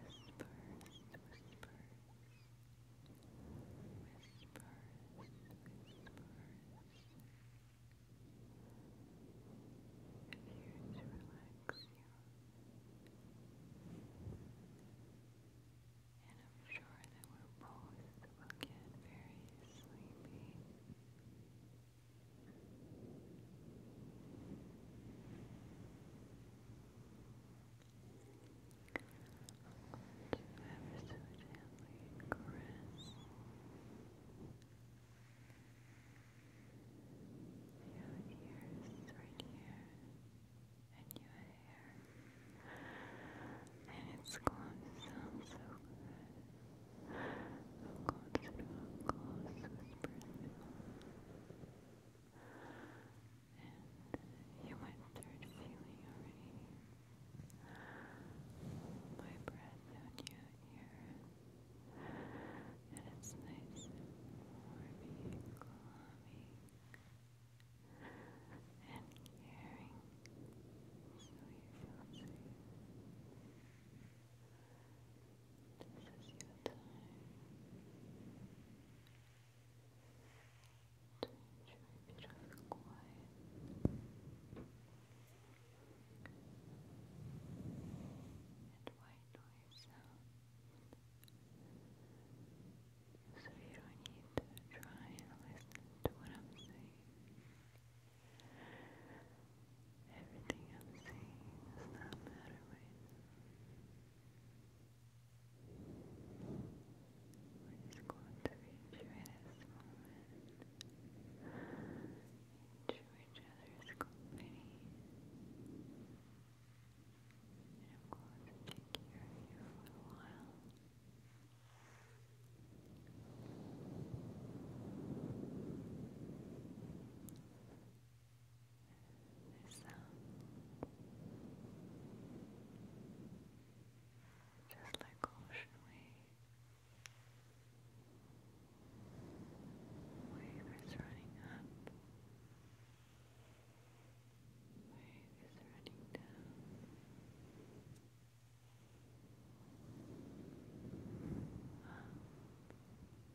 whispers, whispers, whispers. I'm here to relax you. And I'm sure that we're both will get very sleepy. But ever so gently caress your ears right here and your hair and it's going to sound so good I'm going close whisper sound. And you might feeling already my breath on you here. And it's nice and and calming and caring so you feel safe. This is your time to enjoy a bit of quiet and white noise sound. So you don't need to try and listen to what I'm saying. Everything I'm saying does not matter what is going to reach you at this moment? Enjoy each other's company. And of course, take care of you for a while sound just like ocean wave wave running up wave running down,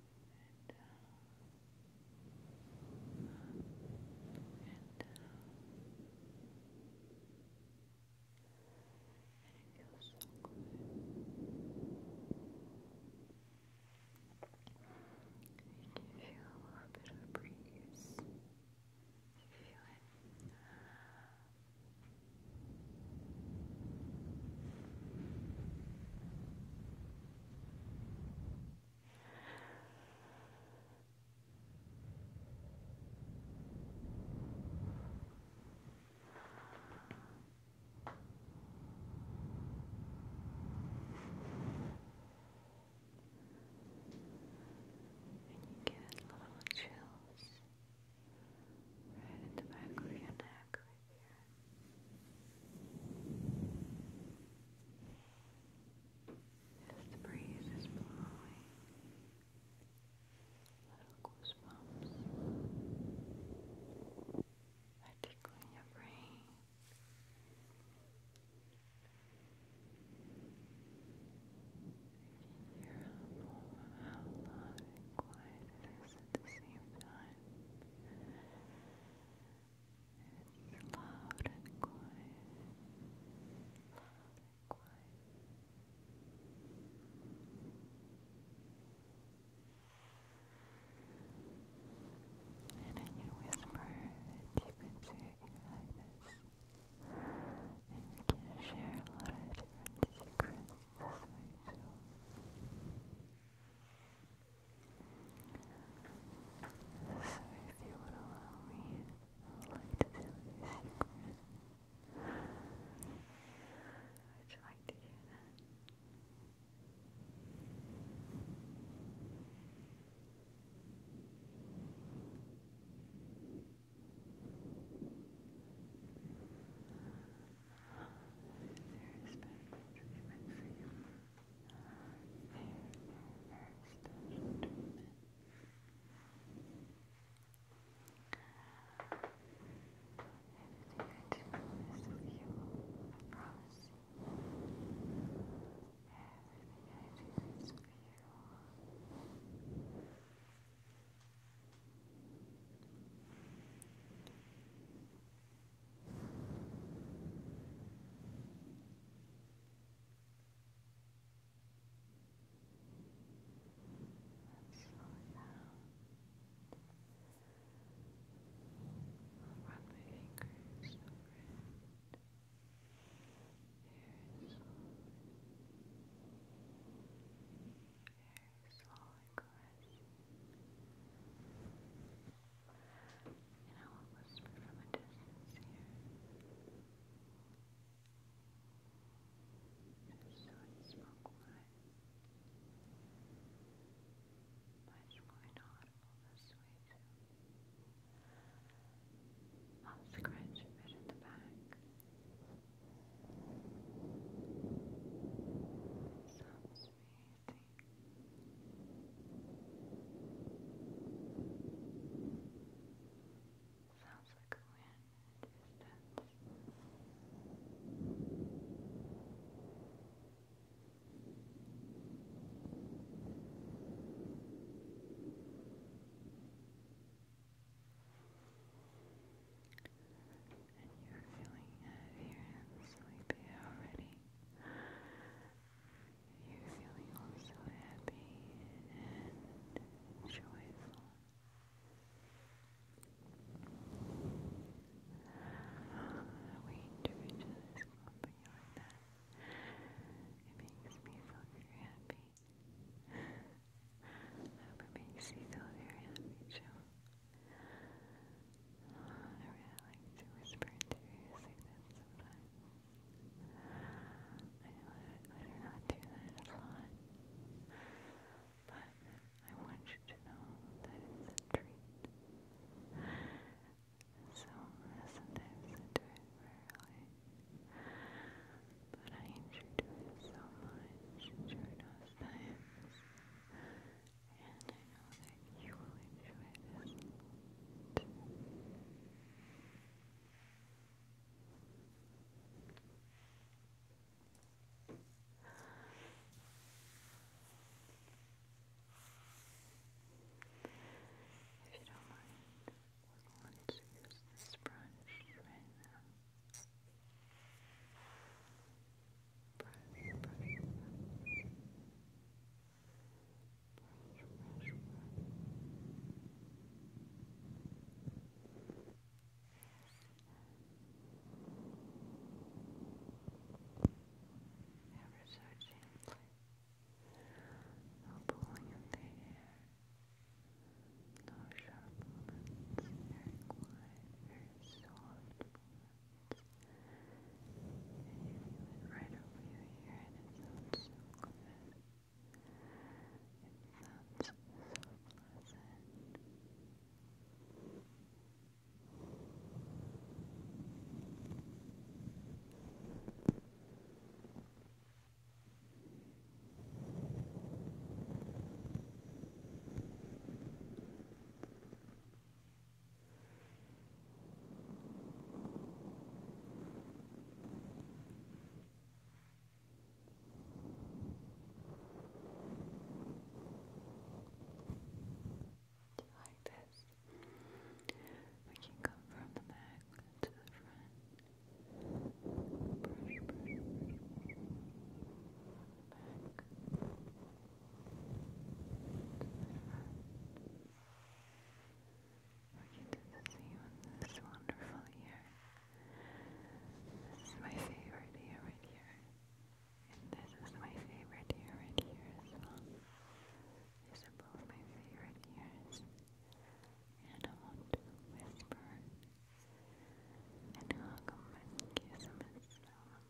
and and it feels so good. You feel a little bit of breeze. You feel it. And you get little chills right in the back of your neck right here. As the breeze is blowing, little goosebumps are tickling your brain. You can hear how and quiet at the same time. It's loud and quiet. Loud and quiet. And in whisper, you can share your And we share a lot of secrets this way, so if you would allow me, I would like to tell you a Would like to hear that? There has for you very, very special Everything I do is with you, I promise you. Everything I do is for you. Everything I do is for you. Let's slow it down. I'll run my fingers over it. Very slowly. Very slowly caressing. Very and I will whisper from a distance here. Just so it's more quiet. Much more audible this way too. I'll scratch a bit at the back. Sounds me. Sounds like a wind and you're feeling heavy sleepy already. You're feeling also happy and joyful. We do each other's company like that. It makes me feel very happy. it makes you feel very happy too. I really like to whisper into your like that sometimes. I know I do not do that a lot, but I want you to know that it's a treat. So sometimes I do it rarely, but I enjoy doing it so much during those times and you If you don't mind, we're going use this brush right now. Brush, brush, brush brush, brush, brush. Ever so gently. No pulling in the hair. No sharp movements. Very quiet, very soft movements went right over your ear and it sounds so good. It sounds so pleasant. Like this, we can come from the back to the front. Brush, brush, brush, brush. Back to the front for you to visit you wonderful year. This is my favorite year right here. And this is my favorite year right here as well. These are both my favorite years. And I want to whisper and hug them and kiss them and smell them.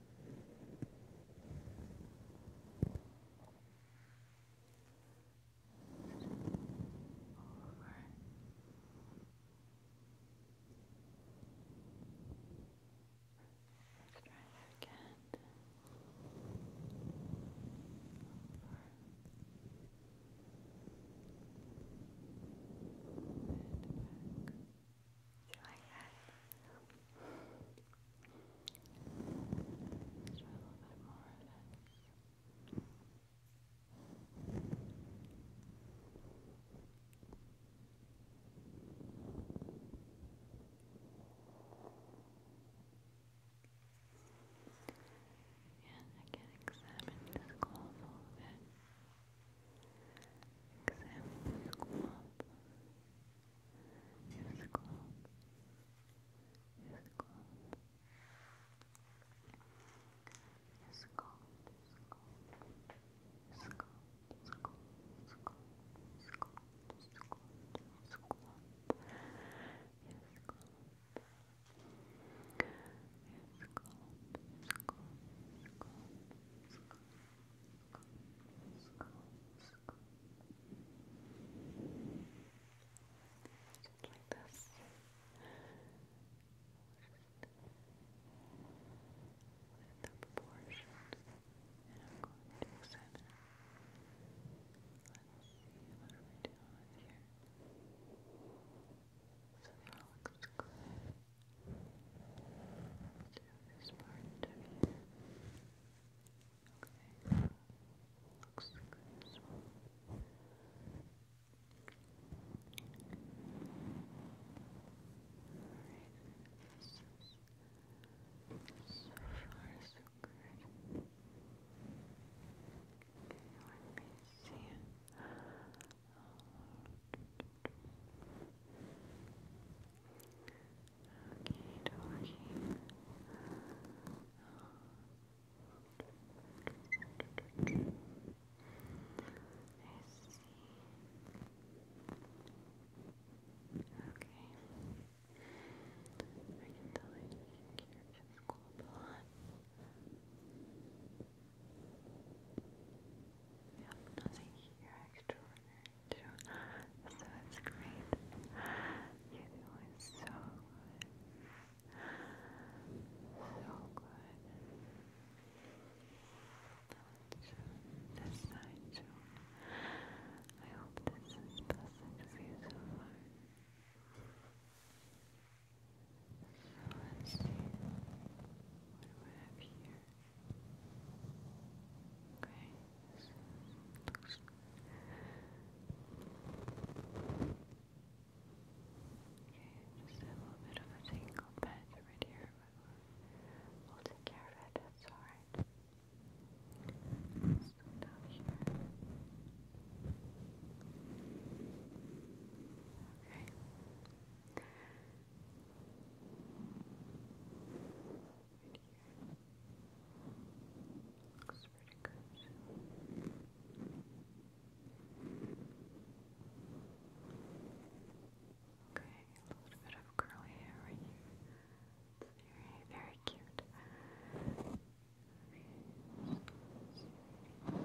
Let's try that again. Over. And back you like that? Let's try a little bit more of this. And again, examine this cloth a little bit. Examine this cloth. Just calm. Just calm. Just calm. Just calm. Just calm. Just calm. Just calm. Just calm. Just just like this. Just the proportion. And I'm going to the Let's see, what are doing here? So that all looks good. Do this part of here. Okay. Looks good so far so good. Okay, let me see can tell I think you're just cool blood. Yep, nothing here extraordinary so it's great. You're doing so So good. Now this side too. I hope this is pleasant for you so far. So let's see. What do have here? Okay just a little bit of a bed right here, but we'll take care of it, that's alright. Okay. Looks pretty good. Okay, a little bit of curly hair right here. It's very, very cute. Yep,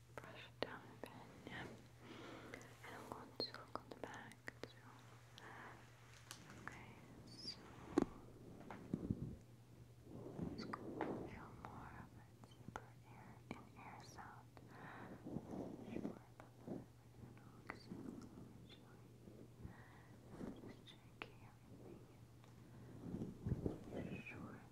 brush it down a bit, yeah. and I'm going to look on the back so it's going to feel more of a deeper air in air sound. I'm sure about that. We're so just checking everything. Making sure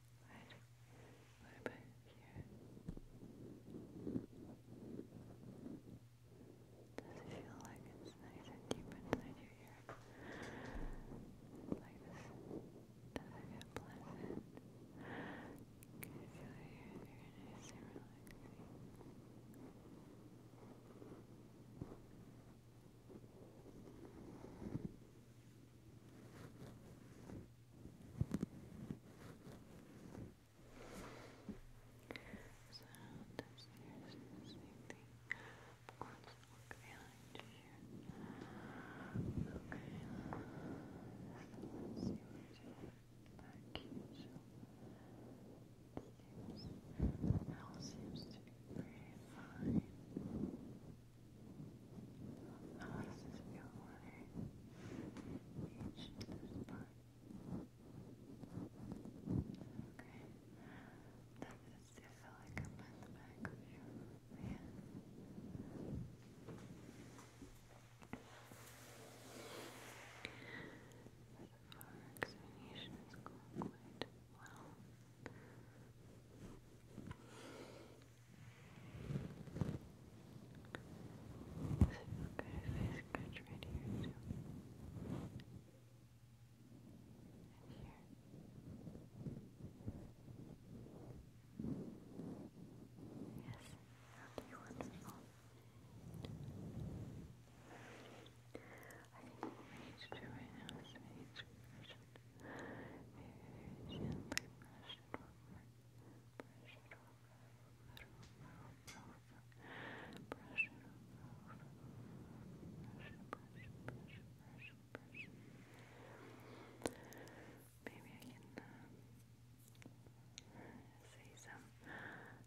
Right. Does it feel like it's nice and deep inside your ear? Like this? Does it feel pleasant? Can you feel your ears relaxing? So that's the same thing. Of course, look you Okay. So let's back here. seems, all seems to be very fine. How does feel when I reach this part? Does feel like I'm at the back of your hand? our examination is going quite well. Does it good right here too? here? Yes, okay, wonderful. I can reach through right now, so I need to brush it. gently brush Maybe I can uh, say some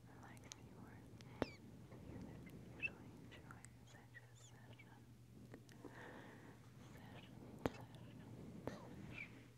relaxing words that usually enjoy such a session. Session, session, session.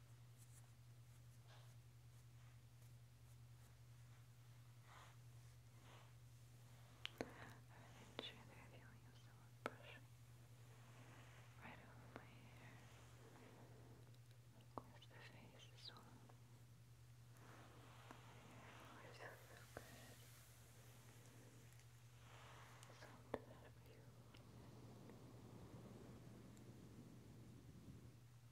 I'm sure they're feeling of someone brushing right over my hair. Of course, the face as well. I feel so good. So I'm you.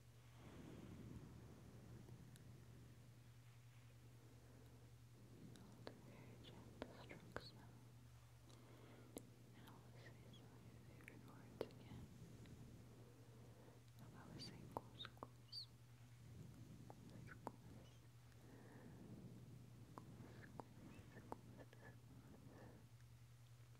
very gentle strokes now. And I will say some of your favorite words again. I will say couscous. Couscous. Couscous. Couscous. Couscous.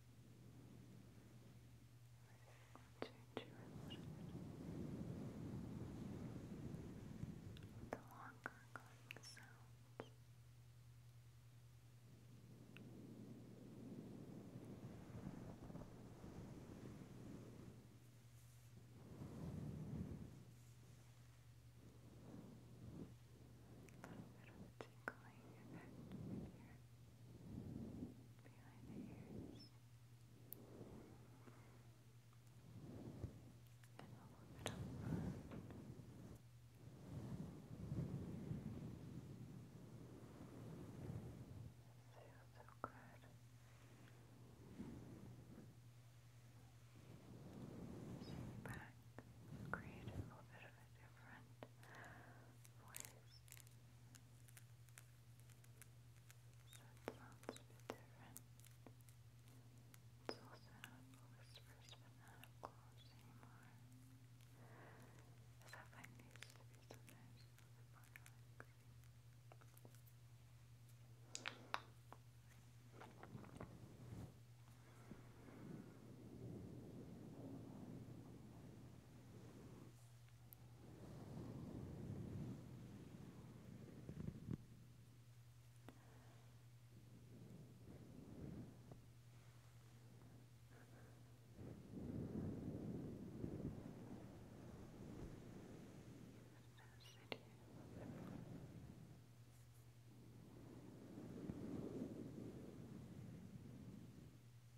change you The longer going sounds. A little bit of tickling effect here behind the ears and all over the feels so good sit back, create a little bit of a different voice so it sounds a bit different. It's also not whispers, but not up close anymore. As I find these to be sometimes a little bit more relaxing. Just just sit here a little bit more. And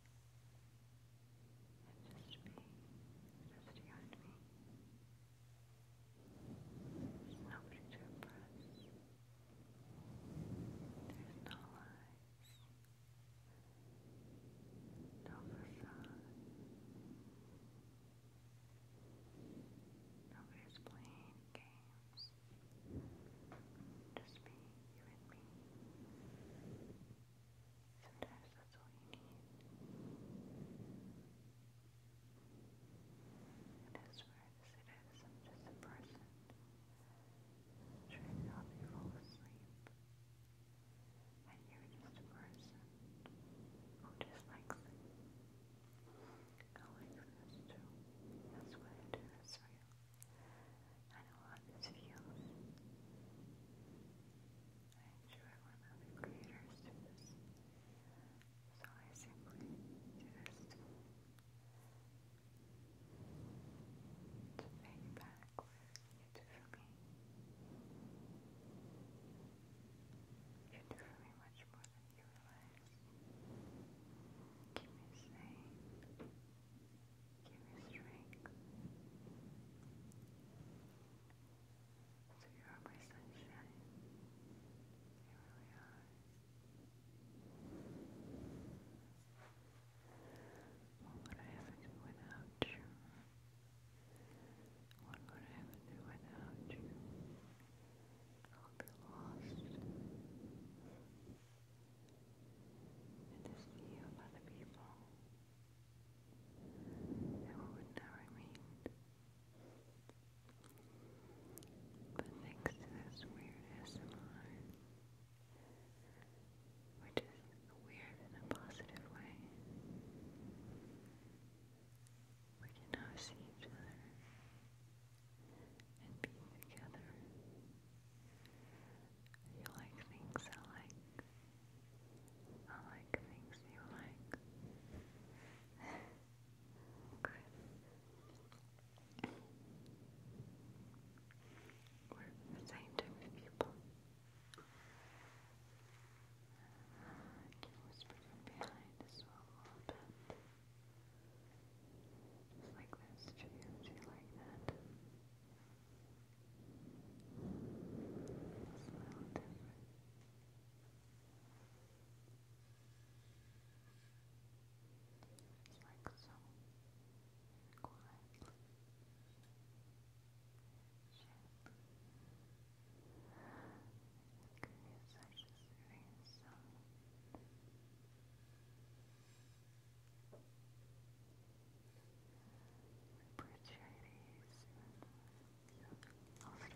just be just behind me. nobody to impress. There's no lies. No facade. Nobody's playing games. Just me, you and me. Sometimes that's all you need. as rare as it just a person trying to help you fall asleep. And you're just a person who just likes it. I this too. That's what I do, that's real. I know how this feels. I'm one of the creators do So simply just take back you do for me. You do for me much more than you realize. Keep me sane strength. So you are my sunshine. You really are. What would I ever do without you? What would I ever do without you? I'll be lost. And to see of other people. It would never mean. But thanks to this weird SMR, which is weird in a positive way, we can now see each other and be together. You like things I like. I like things you like. We're the same type of people. I can behind as a little bit. Just like this, do you like that? It's a little different. It's like so quiet shape. It could be such a serious sound. It's Bridgeries I'll start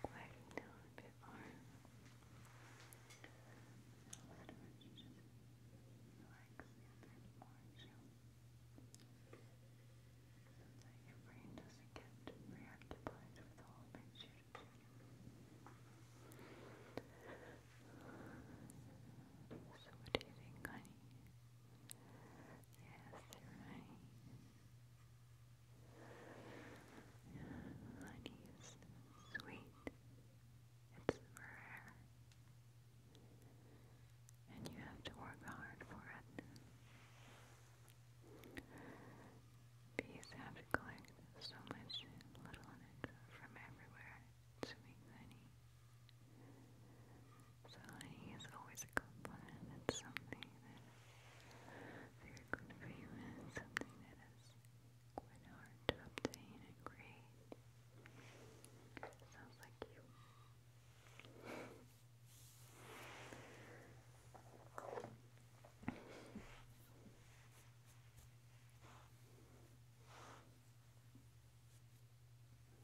quieting down a bit more. I'll start just relaxing a bit more too. So that your brain doesn't get preoccupied with all the shit. So what do you think, honey? Yes, you Honey is sweet. It's rare. And you have to work hard for it. Bees have to collect so much little nectar from everywhere sweet honey. So honey is always a compliment. It's something that very good for you and something that is quite hard to obtain and create. Sounds like you.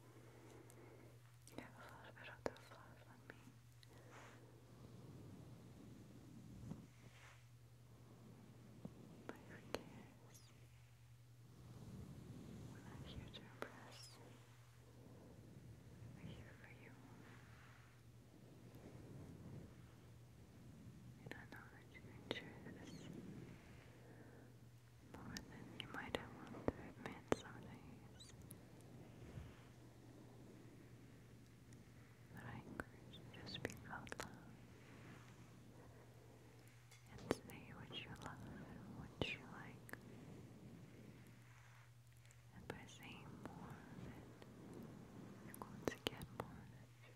You have a little of the fluff on me. But who cares? We're not here to impress. We're here for you. And I know that you more than you might have wanted to admit some days. But I encourage you to speak out loud and say what you love and what you like. And by saying more of it, you're going to get more of it.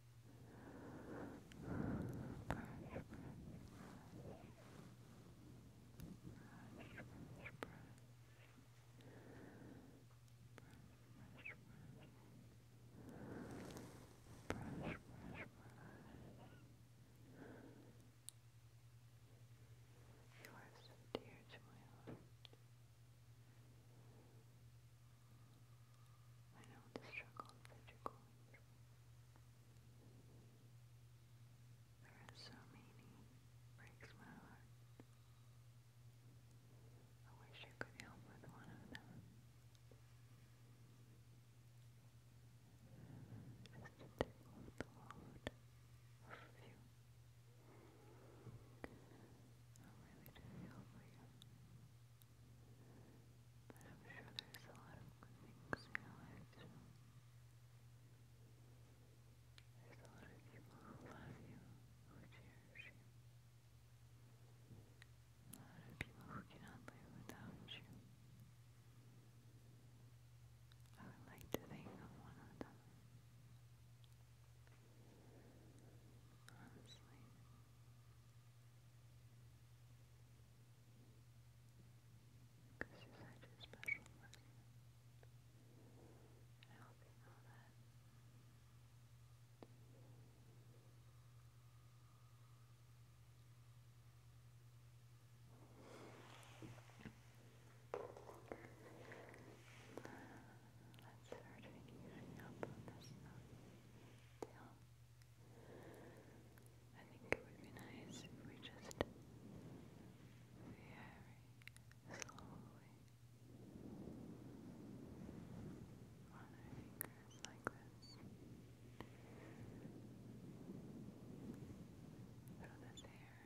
You are so dear to my heart. You are so dear to my heart. I know the struggle that you're through. There are so many breaks my heart. I wish I could help with one of them. Just to take off the load of you. I really do feel for you. But I'm sure there's a lot of good things in your life There's a lot of people who love you, who cherish you. A lot of people who cannot live without you. I would like to think of one of them. Honestly. Because you're such a special person. And I hope you know that. Let's start finishing up on this note. I think it would be nice if we just very slowly on our fingers like this. Through this hair.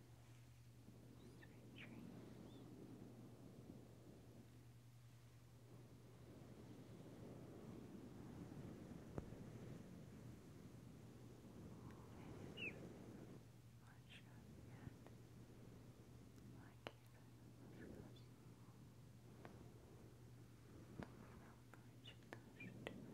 Sweet dreams. Not sure yet. I can't remember this. I don't remember which of those to do that.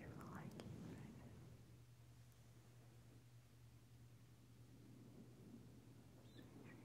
You will like it right now. Sweet dreams.